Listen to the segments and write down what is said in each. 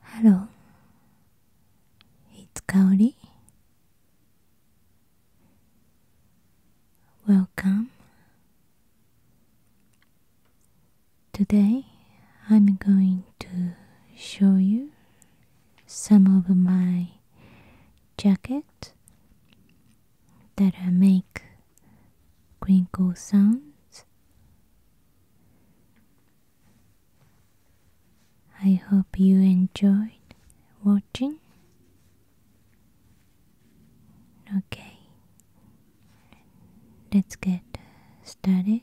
Hello, it's Kauri. Welcome. Today I'm going to show you some of my jacket that I make crinkle sounds. I hope you enjoyed watching. Okay, let's get started.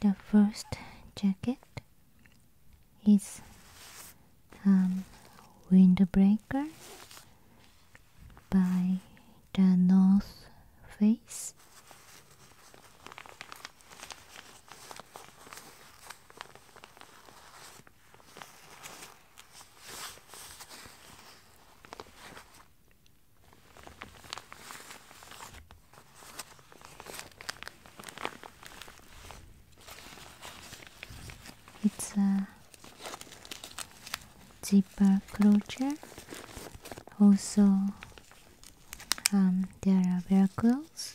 The first jacket is um, Windbreaker by the North Face. It's a zipper closure. Also, um, there are velcros.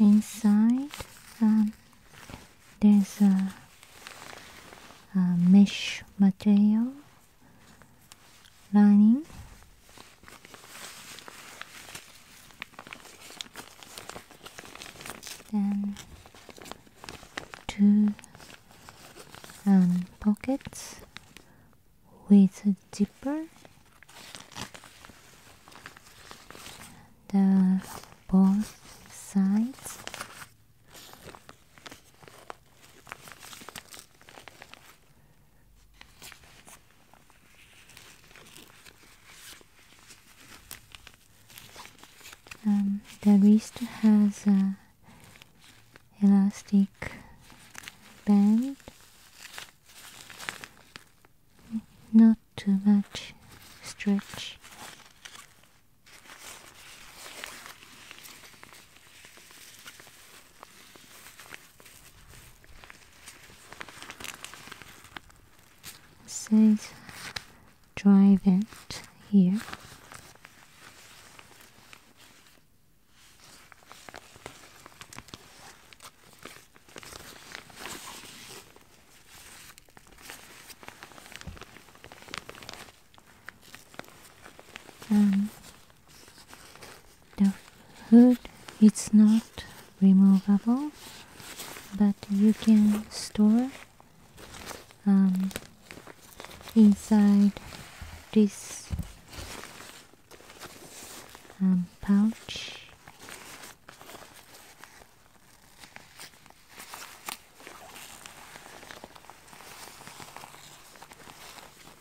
Inside, um, there's a, a mesh material lining then two um, pockets with a zipper the both sides um, the wrist has a elastic band not too much stretch Say, drive it here. Um, the hood it's not removable but you can store um, inside this um, pouch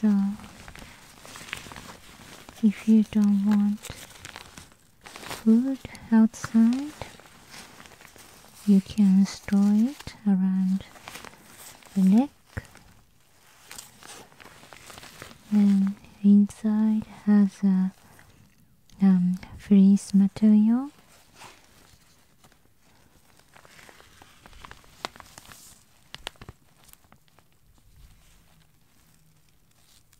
So, if you don't want food outside you can store it around the neck and inside has a um, freeze material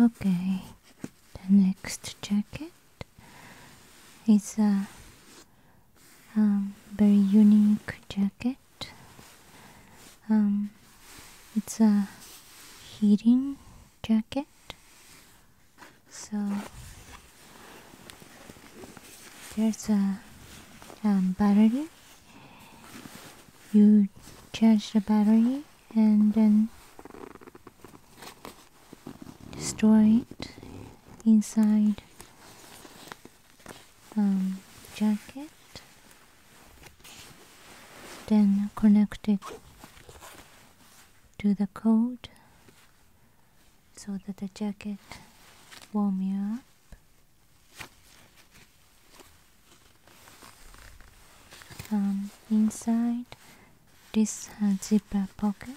Okay, the next jacket is a um, very unique jacket. Um, it's a heating jacket, so there's a um, battery. You charge the battery and then store it inside um, jacket then connect it to the coat so that the jacket warm you up um, inside this has zipper pocket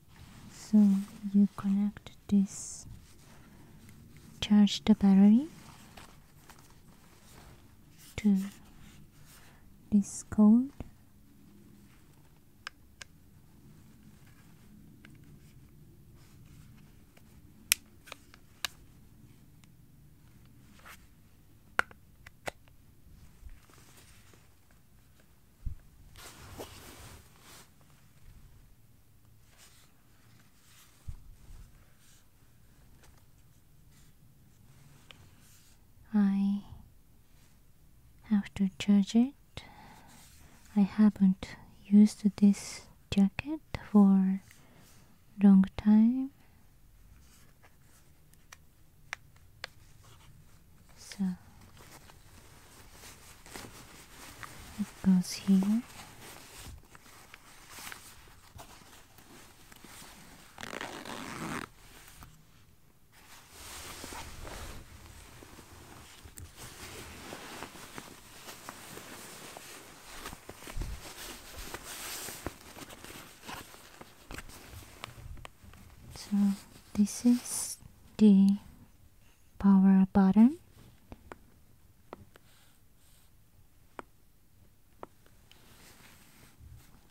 so you connect this charge the battery to this code I have to judge it. I haven't used this jacket for long time. So it goes here. So this is the power button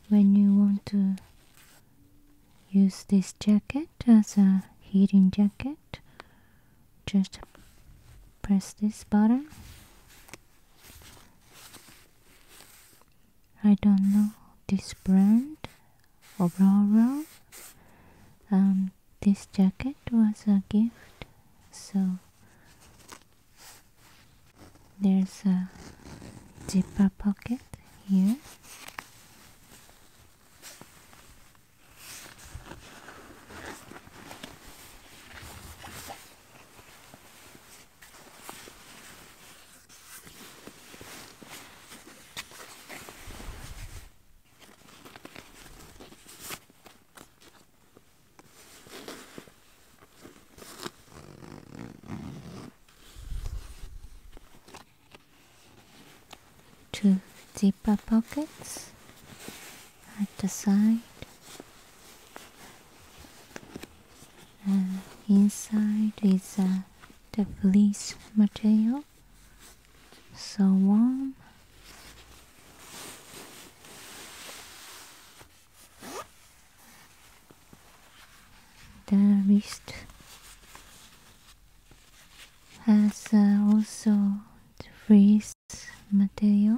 when you want to use this jacket as a heating jacket just press this button I don't know this brand overall um, this jacket was a gift, so there's a zipper pocket here. Two zipper pockets at the side and inside is uh, the fleece material so on, The wrist has uh, also the freeze material.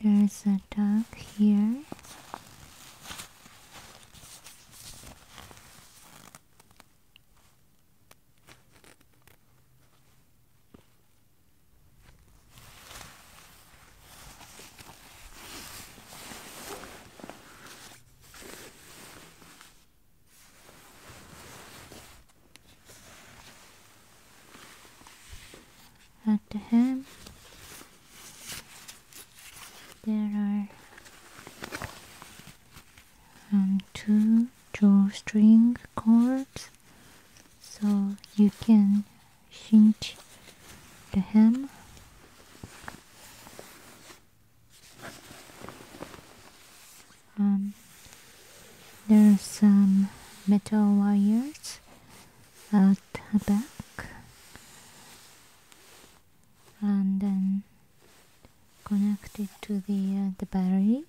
there's a dog here. At the hem, there are um, two drawstring cords, so you can cinch the hem. Um, there are some metal wires out her back and then connect it to the, uh, the battery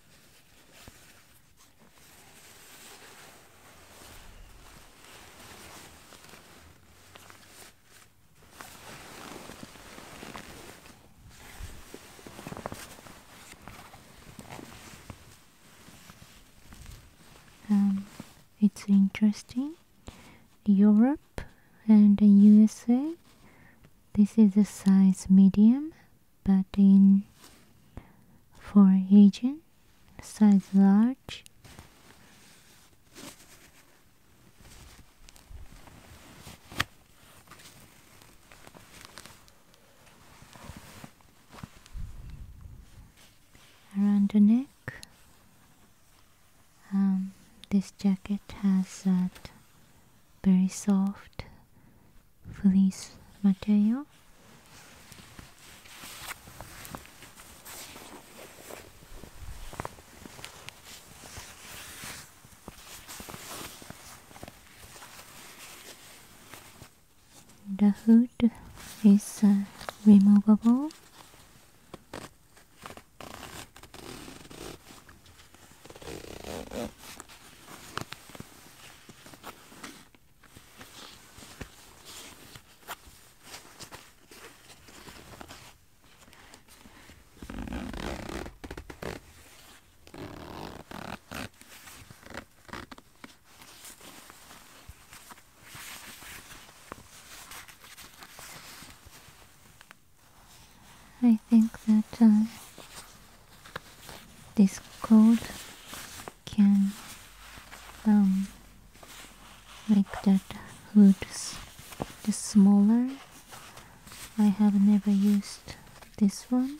Um, it's interesting. Europe and USA, this is a size medium, but in for Asian, size large. around the neck um, this jacket has that very soft fleece material the hood is uh, removable I think that uh, this code can um, make that hood the smaller. I have never used this one.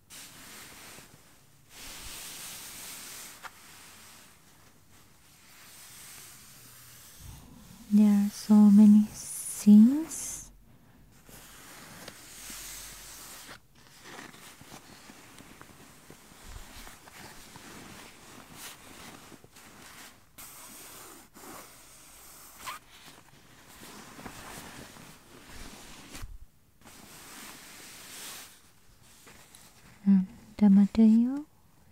There are so many things. Mm. the material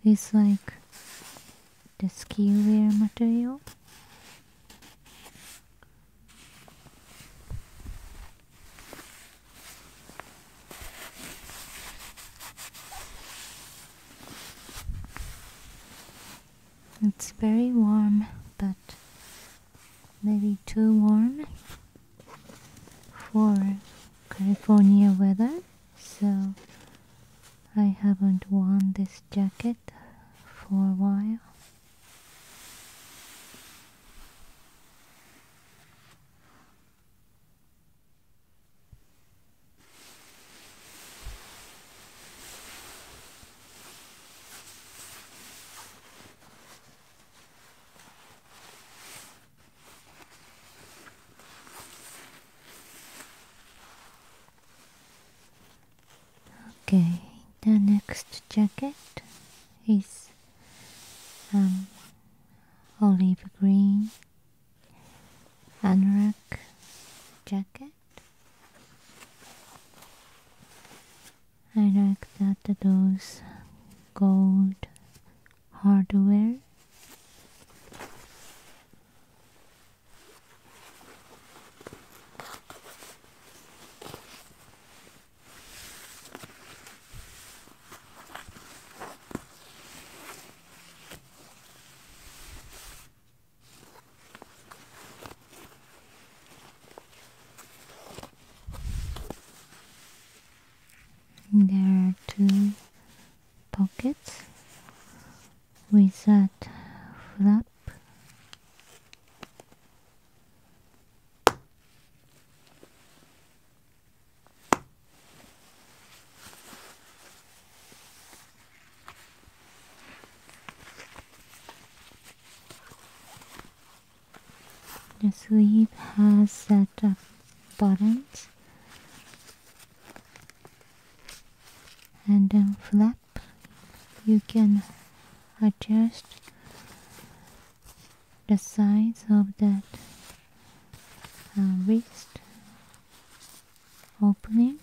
is like the skiwear material. It's very warm but maybe too warm for California weather so I haven't worn this jacket for a while Okay, the next jacket is um, olive green anorak jacket I like that those gold hardware there are two pockets with that flap. The sleeve has set up buttons and then flap you can adjust the size of that uh, wrist opening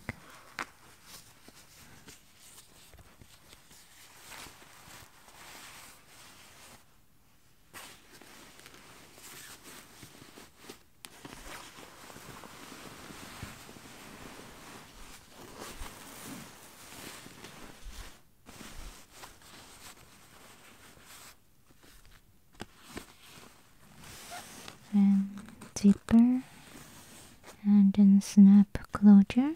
then zipper and then snap closure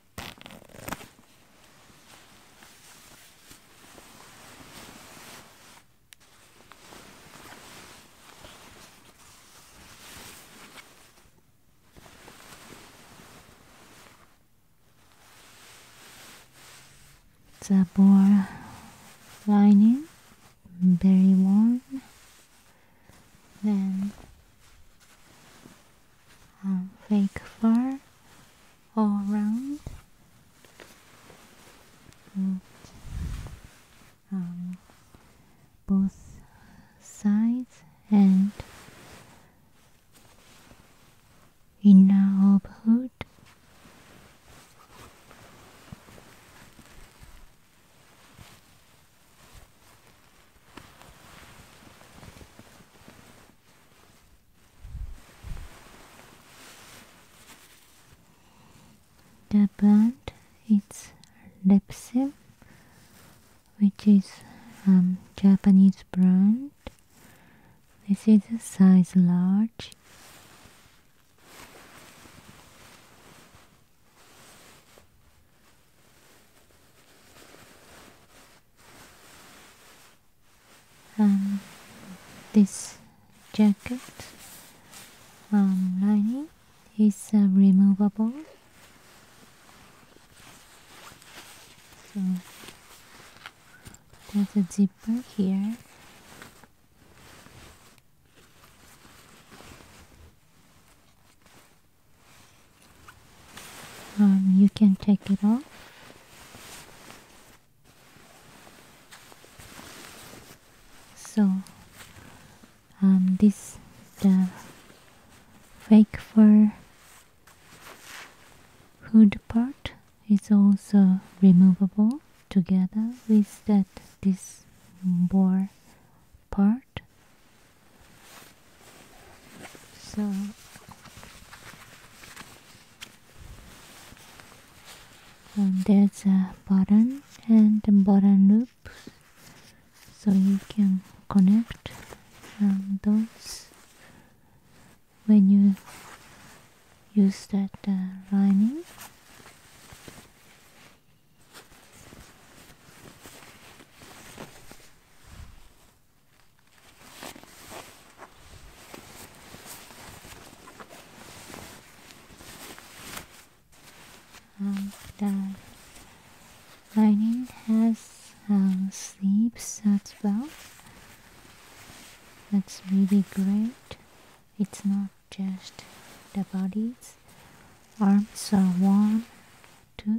Zabor lining, very warm. Then um, fake fur all round um, both sides and in our hood the brand is Lepsil, which is um, Japanese brand. This is a size large. And um, this jacket um, lining is uh, removable so there's a zipper here um, you can take it off. So, um, this the fake fur hood part is also removable together with that this bore part so um, there's a button and the button loops so you can connect um, those when you use that uh, lining um, the lining has um, sleeves as well. That's really great. It's not just the bodies. Arms are warm too.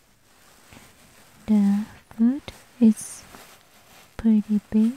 The foot is pretty big.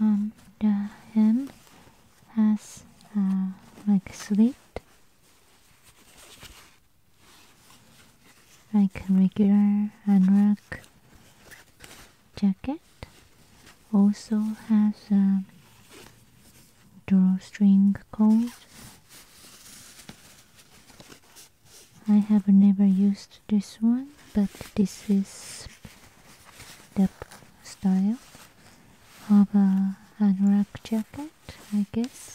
Um, the hem has uh, like sleep, like regular anorak jacket. Also has a um, drawstring coat. I have never used this one, but this is the style of a anorak jacket, I guess.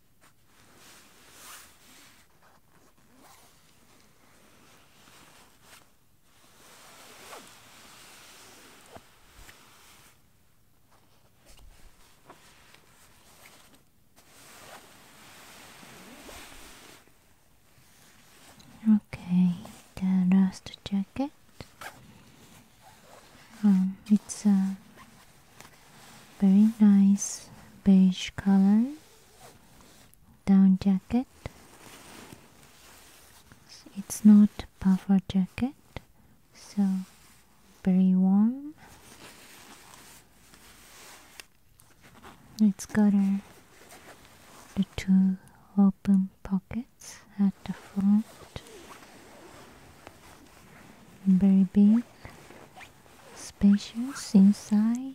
Okay, the last jacket. Um, it's a uh, very nice beige color down jacket it's not puffer jacket so very warm it's got the two open pockets at the front very big spacious inside.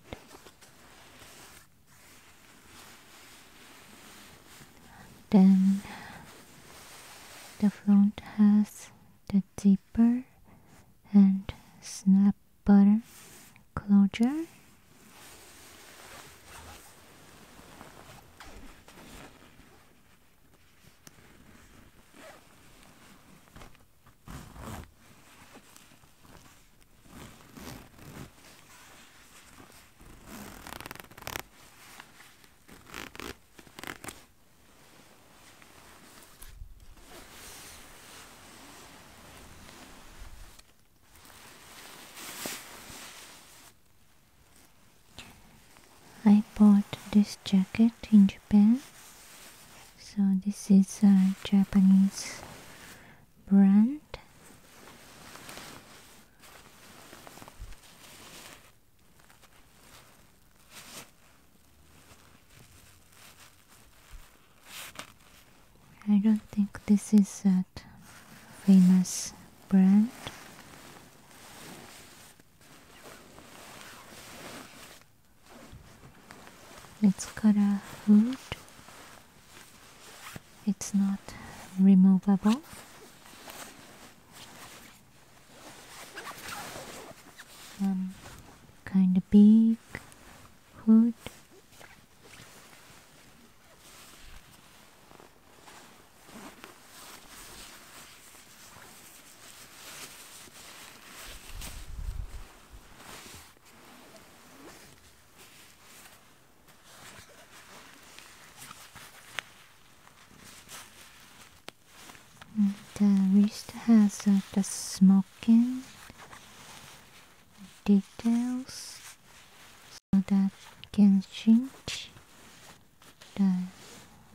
Then the front has the zipper and snap button closure. I bought this jacket in Japan. Japan. So this is a Japanese brand. I don't think this is a famous brand. It's got a hood. It's not removable. Um, kind of big hood. And the wrist has uh, the smoking details so that can change the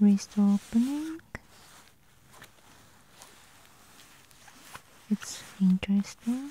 wrist opening it's interesting.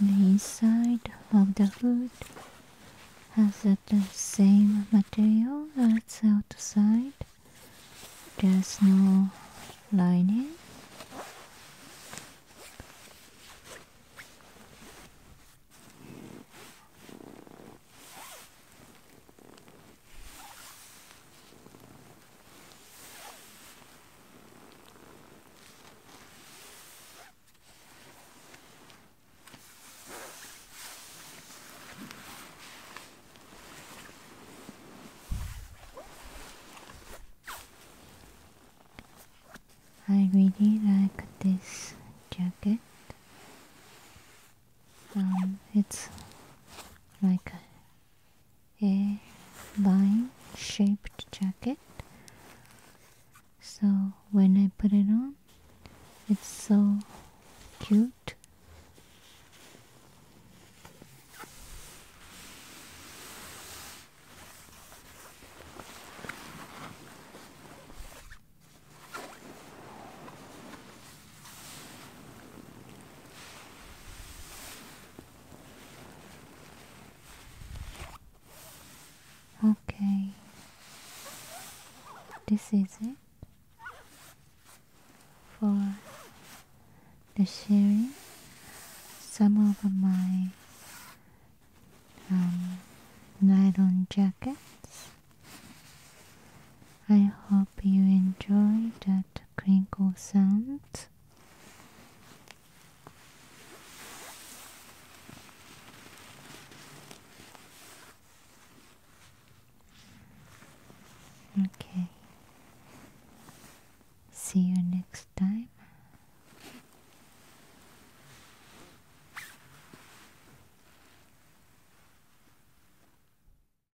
The inside of the hood has the same material as outside. There's no lining. I really like this jacket. Um, it's like a vine shaped jacket so when I put it on it's so cute Okay, this is it for the sharing some of my um, nylon jackets I hope you enjoy that crinkle sound. Okay. See you next time.